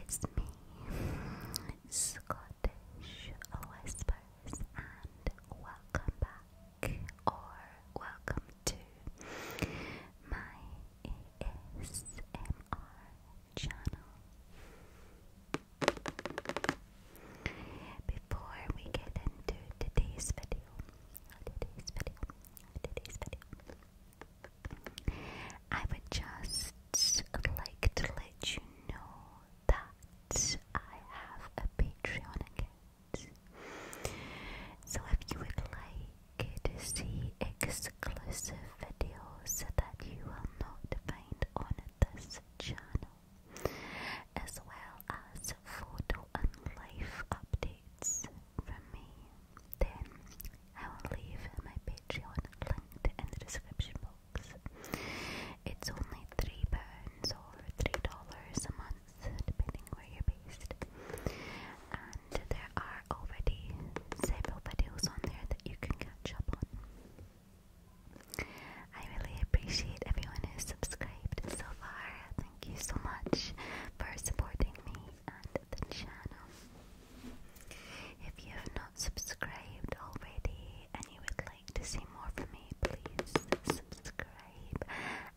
It's me, Scottish Whispers, and welcome back or welcome to my ASMR channel. Before we get into today's video, I would just like to let you know that I have a Patreon account. So if you would like to see exclusive videos that you will not find on this channel, as well as photo and life updates from me, then I will leave my Patreon linked in the description box. It's only three pounds or three dollars a month, depending where you're based. And there are already several videos on there that you can catch up on. I really appreciate everyone who's subscribed so far. Thank you so much for supporting me and the channel. If you have not subscribed already and you would like to see more from me, please subscribe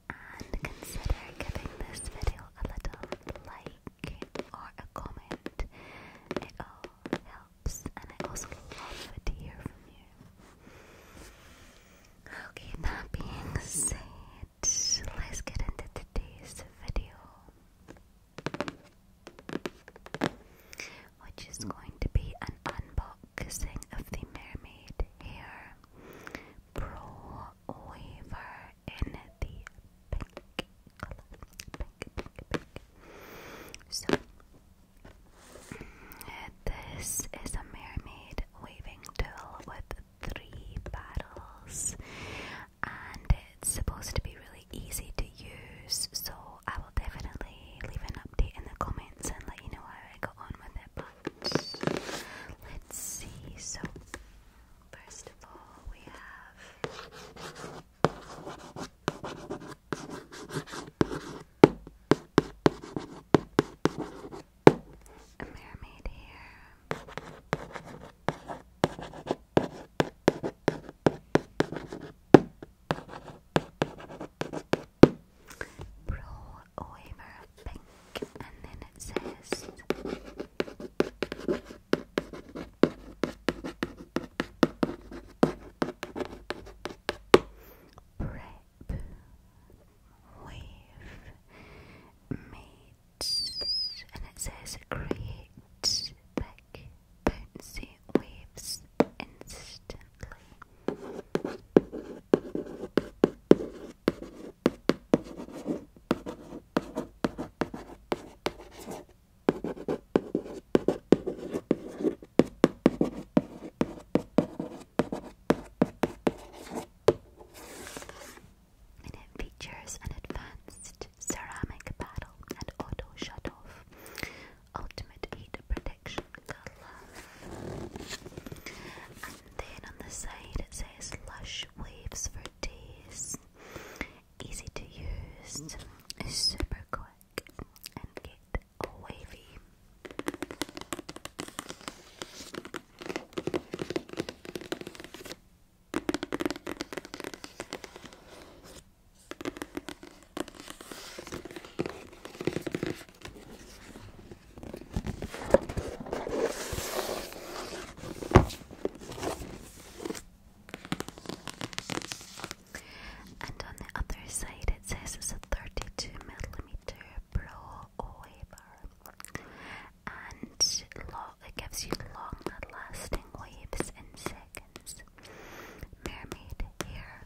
and consider giving this video a little like or a comment. It all helps and I also love to hear from you. Okay, that being said, let's get into today's video, which is going to be an unboxing of the Mermaid Hair Pro Waver in the pink Pink, pink, pink. So, this is a mermaid waving tool with three paddles, and it's supposed to be really easy to use. So I will definitely leave an update in the comments and let you know how I go on with it. But let's see. So first of all, we have. A mermaid here. Pro waver pink, and then it says prep with meat, and it says create back bouncy waves instantly it features an advanced ceramic paddle and auto shut off, ultimate heat protection And then on the side it says lush waves for days. Easy to use, super quick and get all wavy. And on the other side, it says it's a 32 millimeter Pro Waver. And it gives you long lasting waves in seconds. Mermaid hair.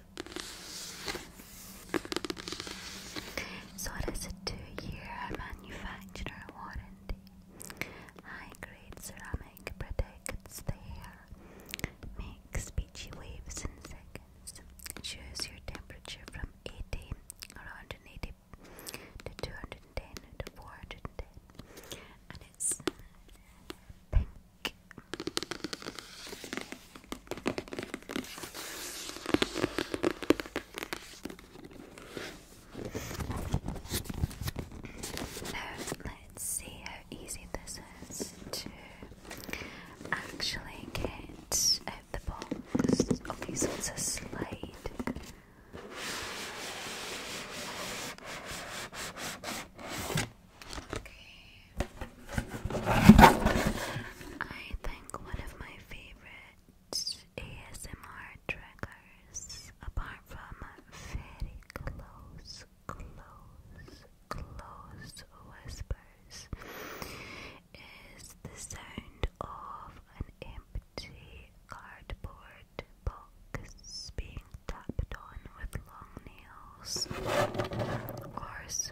So it is a two-year manufacturer warranty. High-grade ceramic protects the hair. Makes beachy waves in seconds. Choose your temperature from eighteen to 210 to 410. And it's let's see how easy this is to actually get out the box. Okay, it's a slide. I think one of my favorite ASMR triggers, apart from very close, close, close whispers, is the sound of an empty cardboard box being being tapped on with long nails or scratched.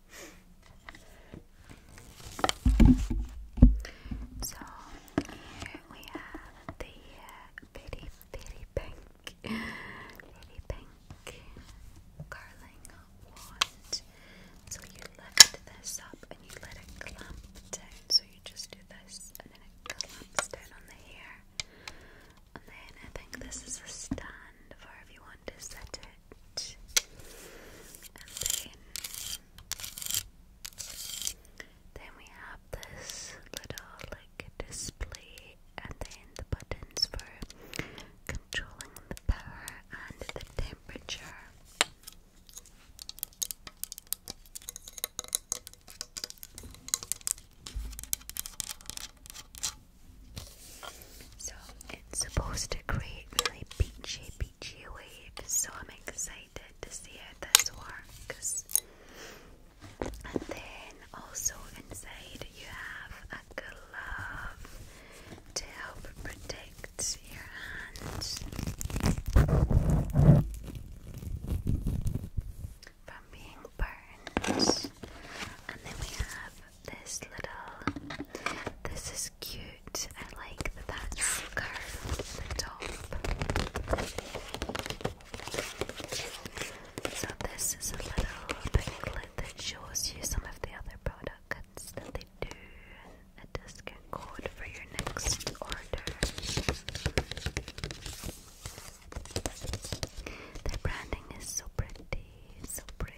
So here we have the uh, bitty pink, bitty pink curling wand. So you lift this up and you let it clump down. So you just do this and then it clumps down on the hair. And then I think this is a stand for if you want to set it and then, then we have this little like display and then the buttons for controlling the power and the temperature. So it's supposed to create really peachy beachy wave, so I'm excited to see how this works. And then also inside you have a glove to help protect your hands from being burned. And then we have this little this is cute I like that that's top. So this is a little booklet that shows you some of the other products that they do and a discount code for your next order. Their branding is so pretty, so pretty.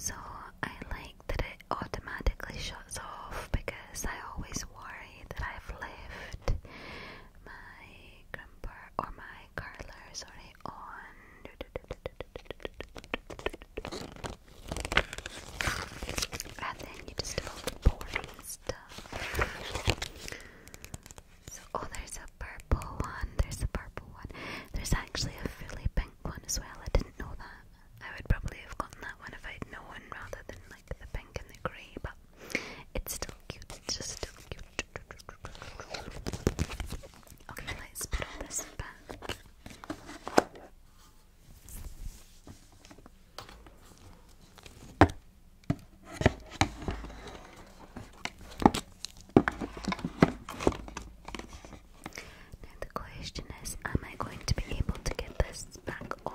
So I like that it automatically shuts off because I always worry that I've left my grumper or my curler sorry on. And then you just start pouring stuff. oh, there's a purple one. There's a purple one. There's actually a really pink one as well. I didn't know that. I would probably have gotten that one if I'd known rather than like the pink and the grey, but it's still cute. It's just still cute. Okay, let's put this back. Now the question is, am I going to be able to get this back on?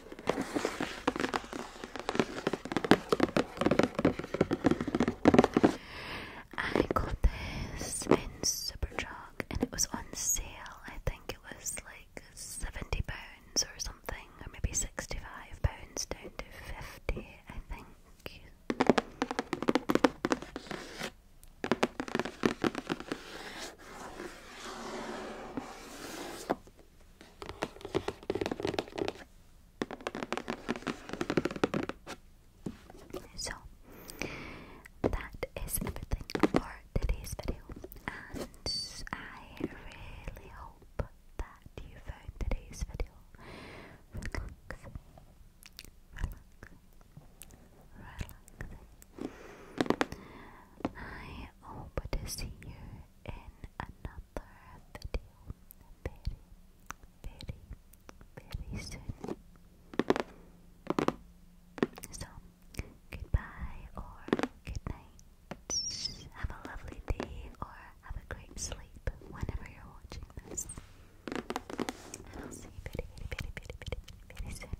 I got this in Superdrug and it was on sale. I think it was like seventy pounds or something, or maybe sixty-five pounds down to fifty, I think. So that is everything for today's video, and I really hope that you found today's video relaxing, relaxing, relaxing. I hope to see you in another video very, very, very soon. So, goodbye or good Have a lovely day or have a great sleep whenever you're watching this. I'll see you very, very, very, very, very soon.